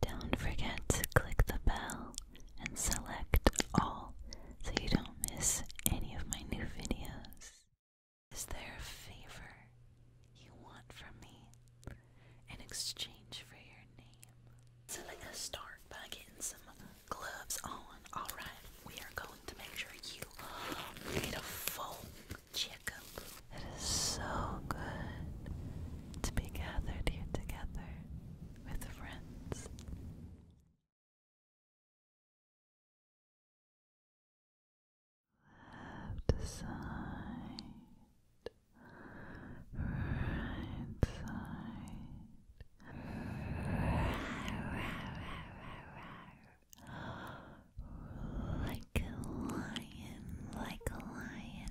Don't forget to click the bell and select all so you don't miss any of my new videos. Is there a favor you want from me in exchange for your name? So let us start by getting some gloves on. Alright, we are going to make sure you get a full checkup. It is so good to be gathered here together with friends. Left side, right side. Like a lion, like a lion.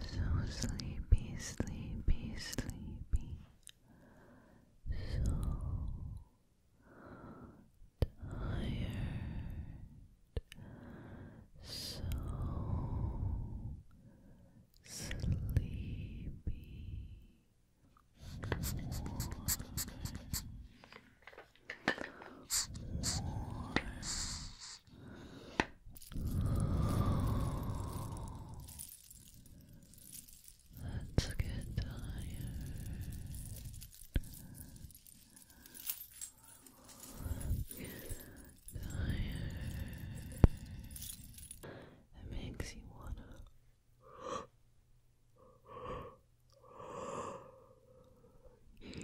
So sleepy, sleepy, sleepy. So tired. So sleepy. Let's get tired. tired. It makes you wanna. Yawn. Hello,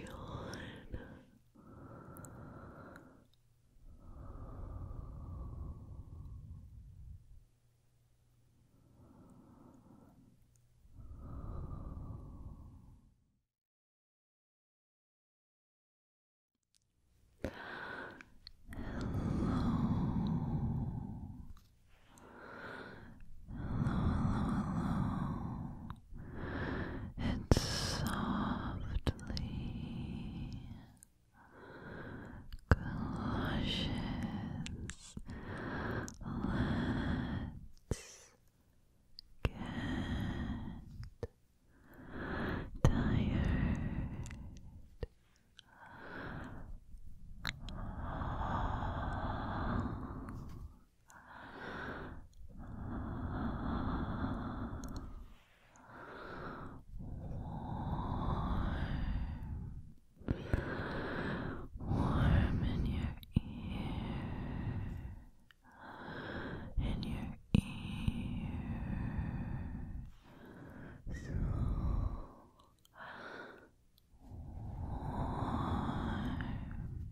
hello, hello it softly clashes. Let's get tired warm, warm in your ear, in your ear, so warm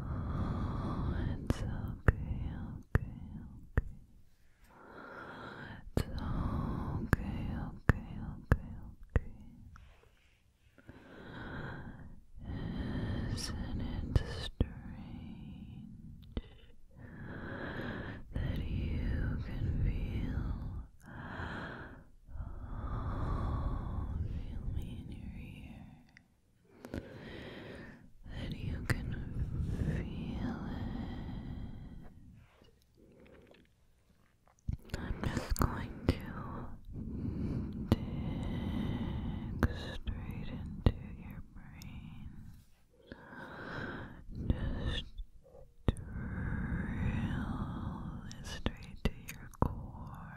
Oh, it's okay, okay, okay. It's okay, okay, okay, okay. Isn't it strange that you can feel, feel me in your ear? that you can feel it. I'm just going to dig straight into your brain. Just drill straight to your core.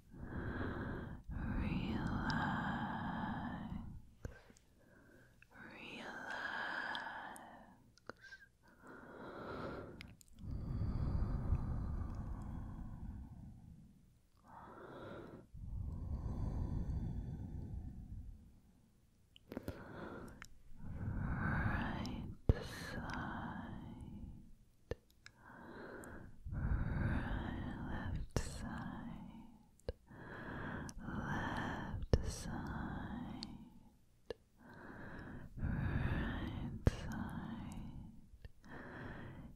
relax, relax. Right side left side, left side, right side.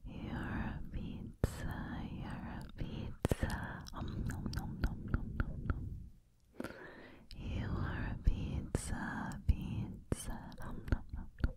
You're a pizza, you're a pizza. Um, nom, nom, nom, nom, nom, nom. You are a pizza, pizza. Um, nom, nom, nom, nom, nom, nom.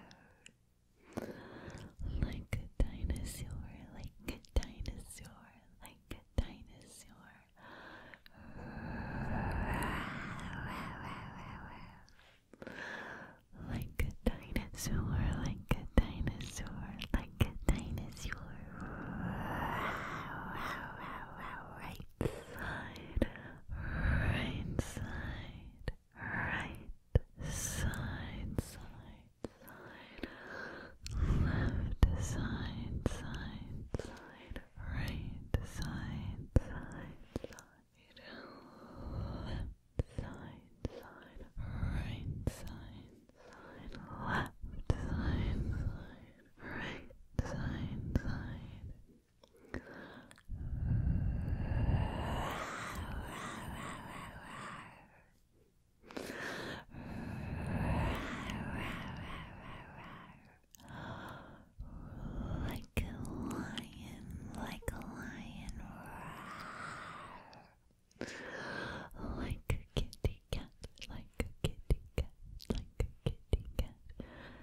Like a dinosaur, like a dinosaur, like a dinosaur. Like a dinosaur, like a dinosaur, like a dinosaur. Right side, right side right side, side, side, left side, side, side, right side, side, side, left side, side, right side, side, left side, side, right side, side. Like a lion, like a lion, like a kitty cat, like a kitty cat, like a kitty cat,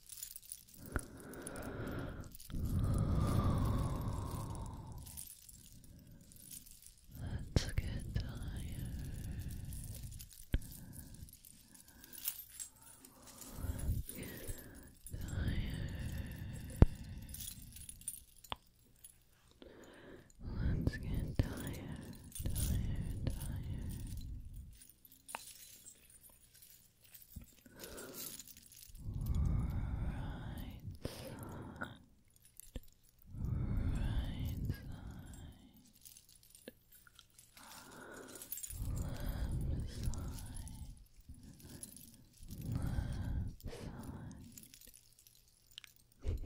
Let's get tired. Get tired. Let's get tired, tired, tired side. Right side. Left side. Left side. Left side.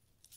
Left side,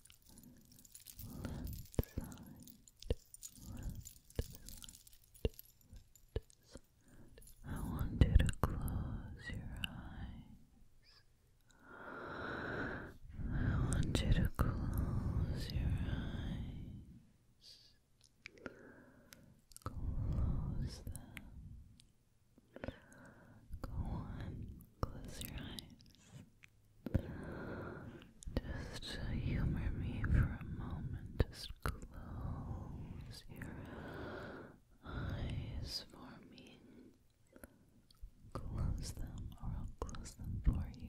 left side, left side, left side. I want you to close your eyes. I want you to close your eyes. Close them. Go on, close your eyes. Just humor me for a moment. Just close your eyes for me. Close them, or I'll close them for you.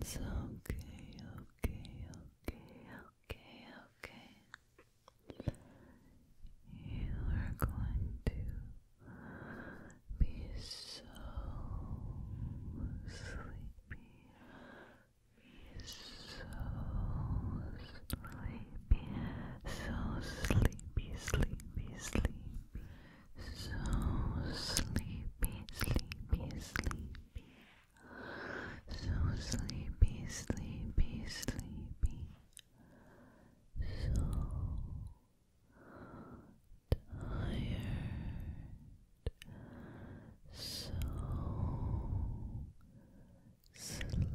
It's okay, okay, okay, okay, okay. You are going to be so sleepy. Be so sleepy, so sleepy, sleepy, sleepy so sleepy, sleepy, sleepy, so sleepy, sleepy, sleepy, so tired, so sleepy. So sleepy,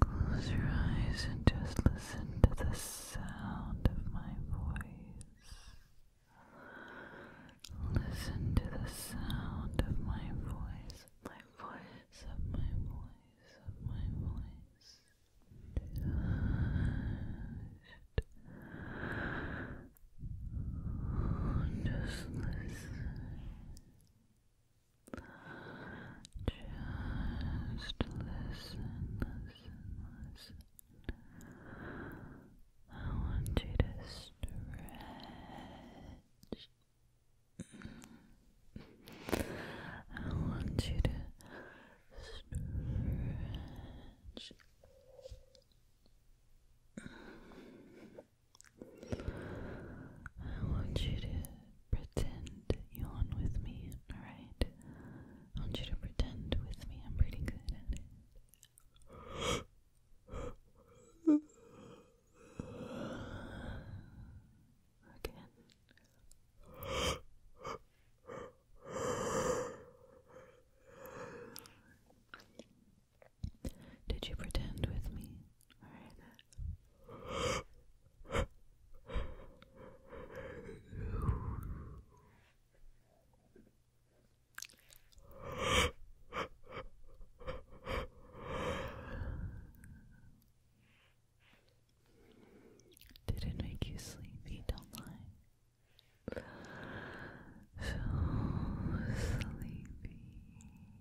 Close your eyes and just listen to the sound of my voice. Listen to the sound of my voice, my voice, of my voice, of my voice. Just, listen. Just listen, listen, listen. I want you to stretch. I want you to stretch. I want you to pretend yawn with me, alright? I want you to pretend with me, I'm pretty good at it. Again. Did you pretend with me? Did it make you sleepy? Don't lie. So sleepy.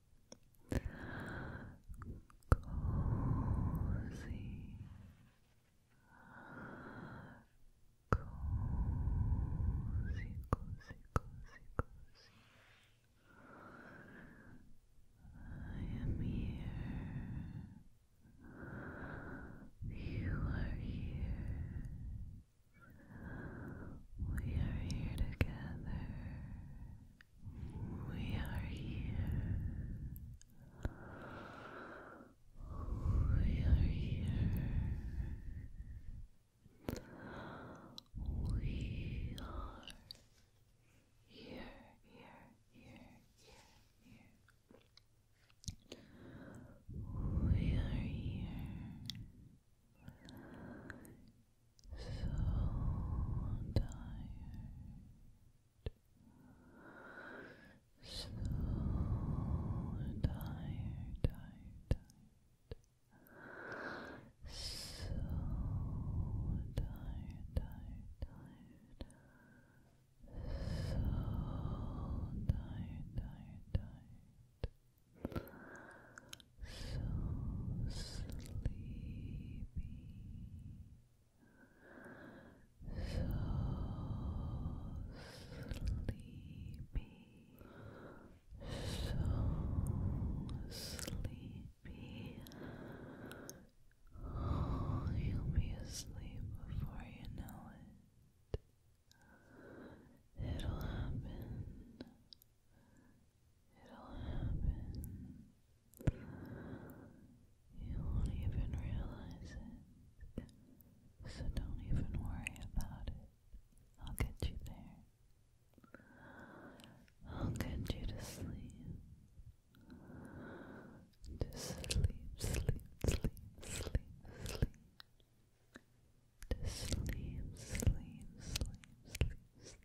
cozy, cozy, cozy, cozy, cozy. I am here. You are here. We are here together. We are here. We are here. We are here, here, here, here, here. We are here so tired, tired, tired, so tired, tired, tired. So tired, tired, tired sleepy. Oh, you'll be asleep before you know it. It'll happen. It'll happen. You won't even realize it. So don't even worry about it. I'll get you there. I'll get you to sleep. To sleep, sleep, sleep, sleep, sleep. To sleep, sleep, sleep, sleep, sleep.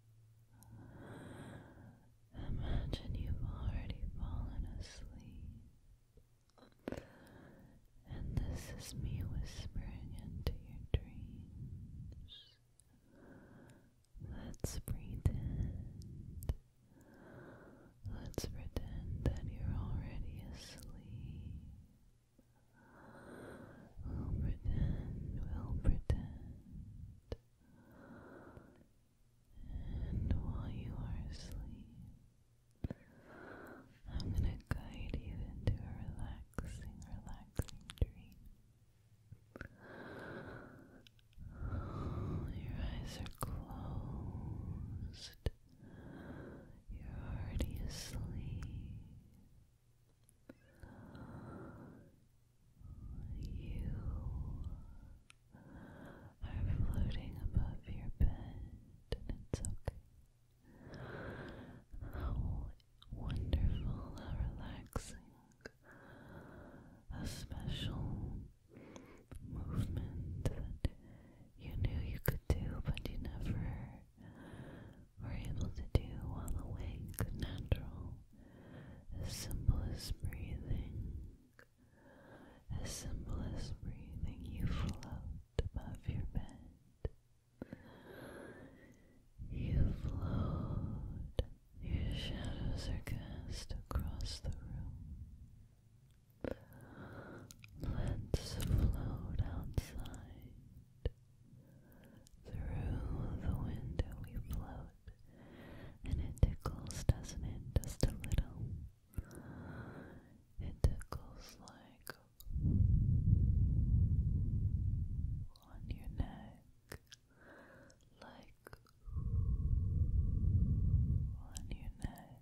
Imagine you've already fallen asleep, and this is me whispering into your dreams. Let's pretend. Let's pretend that you're already asleep. We'll pretend, we'll pretend. And while you are asleep, I'm going to guide you into a relaxing, relaxing dream. your eyes are closed. You're already asleep. You are floating above your bed, and it's okay. How wonderful, how relaxing, a special movement that you knew you could do, but you never are able to do while awake, natural, as simple as breathing, as simple as breathing, you float above your bed. You float, your shadows are cast across the room. Let's float outside. Through the window we float, and it tickles, doesn't it? Just a little. It tickles like on your neck, like on your neck.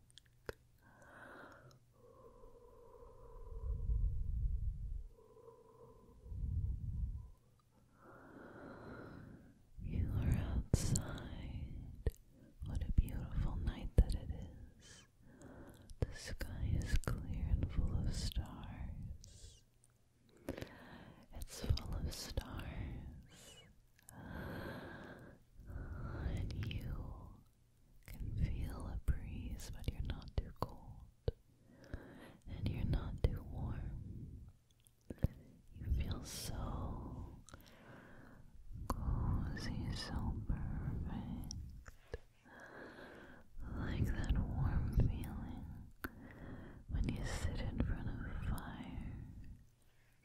You are outside. What a beautiful night that it is. The sky is clear and full of stars. It's full of stars. And you can feel a breeze, but you're not too cold and you're not too warm. You feel so cozy, so perfect. Like that warm feeling when you sit in front of a fire.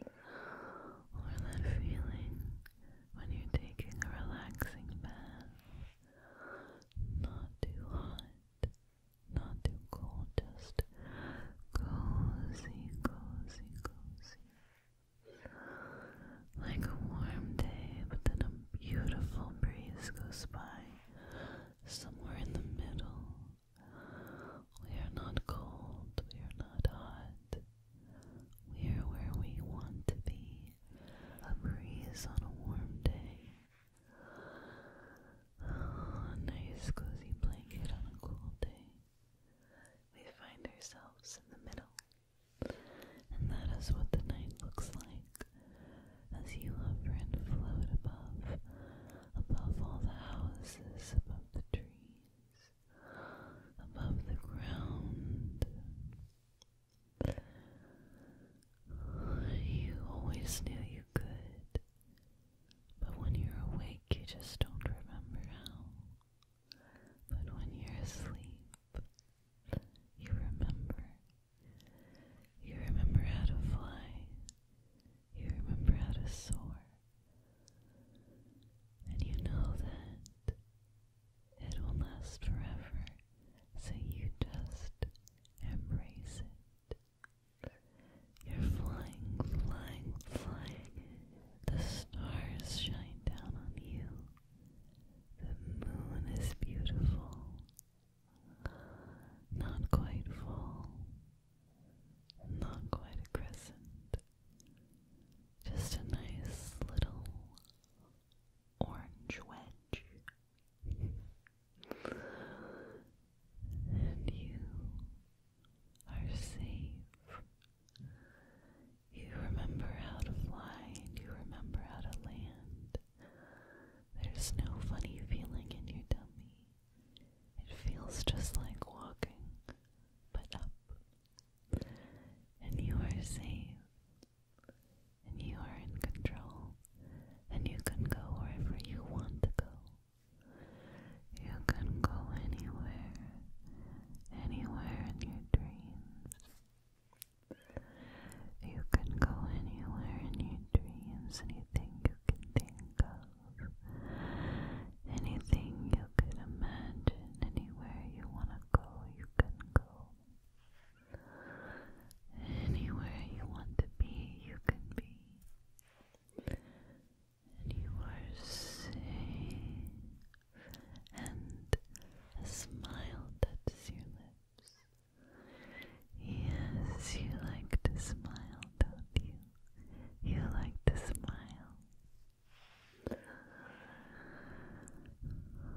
Or that feeling when you're taking a relaxing bath not too hot, not too cold, just cozy, cozy, cozy. Like a warm day, but then a beautiful breeze goes by, somewhere in the middle. We are not cold, we are not hot. We are where we want to be a breeze on a warm day, a nice cozy blanket on a cool day. We find ourselves in the middle, and that is what the night looks like as you, friend, float above, above all the houses, above the trees, above the ground. You always knew you could, but when you're awake, you just don't remember how. But when you're asleep, you remember. You remember how to fly. You remember how to soar. And you know that it will last forever, so you just embrace it. You're flying, flying, flying. The stars shine down on you. The moon is beautiful. Not quite full. Not quite a crescent. Just a nice little orange wedge and you are safe. You remember how to fly and you remember how to land. There's no funny feeling in your tummy. It feels just like walking, but up. And you are safe and you are in control, and you can go wherever you want to go. You can go anywhere, anywhere in your dreams. You can go anywhere in your dreams, anything you can think of, anything you can imagine, anywhere you want to go, you can go. Anywhere you want to be, you can be. And And a smile touches your lips. Yes, you like to smile, don't you? You like to smile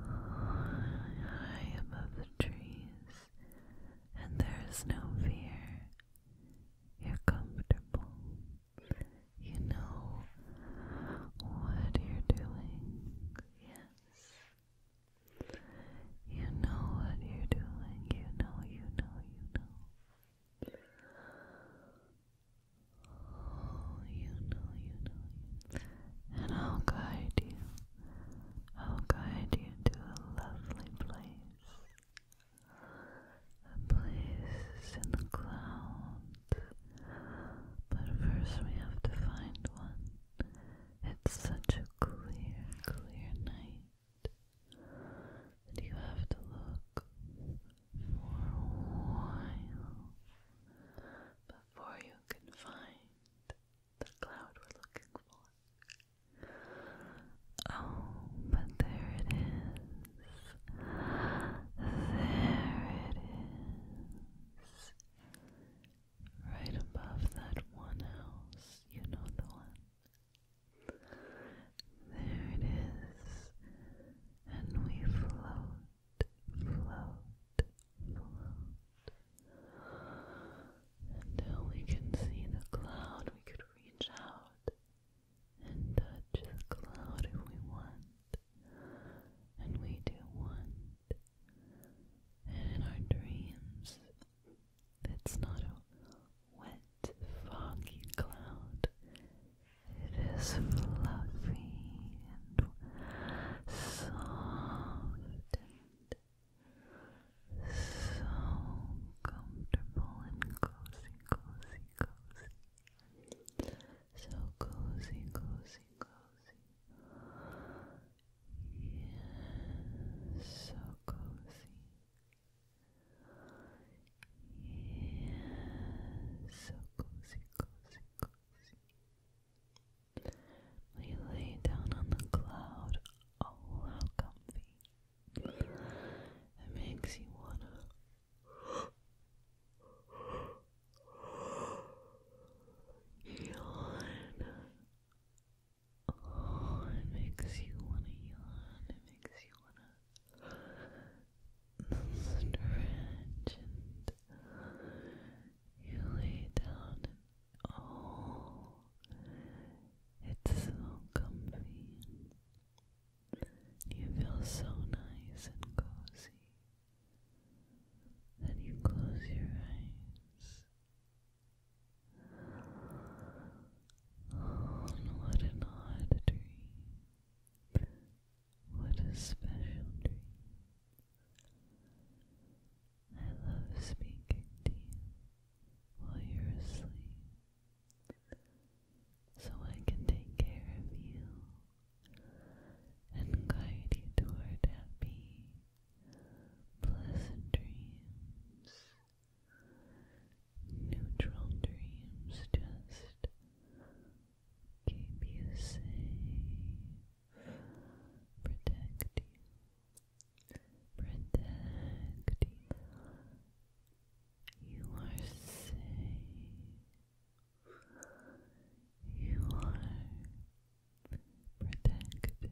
high above the trees, and there is no fear. You're comfortable. You know what you're doing. Yes. You know what you're doing. You know, you know, you know. Oh, you know, you know, and I'll guide you. I'll guide you to a lovely place. A place in the clouds. But first we have to find one. It's such a clear, clear night that you have to look for a while before you can find the cloud we're looking for. Oh, but there it is. There it is. Right above that one house, you know the one. There it is, and we float until we can see the cloud, we could reach out and touch the cloud if we want. And we do want. And in our dreams, it's not a wet, foggy cloud. It is fluffy, and soft and so comfortable and cozy, cozy, cozy. So cozy, cozy, cozy. Yeah, so cozy. Yeah, so cozy, cozy, cozy. When lay down on the cloud, oh how comfy. It makes you wanna yawn. Oh, it makes you wanna yawn. It makes you wanna stretch you lay down and oh, it's so comfy. You feel so nice and cozy. Then you close your eyes. Oh, what an odd dream. What a special dream. I love speaking to you while you're asleep so I can take care of you and guide you toward happy, pleasant dreams. Neutral dreams just keep you safe, protect you, protect you. You are safe. You are protected.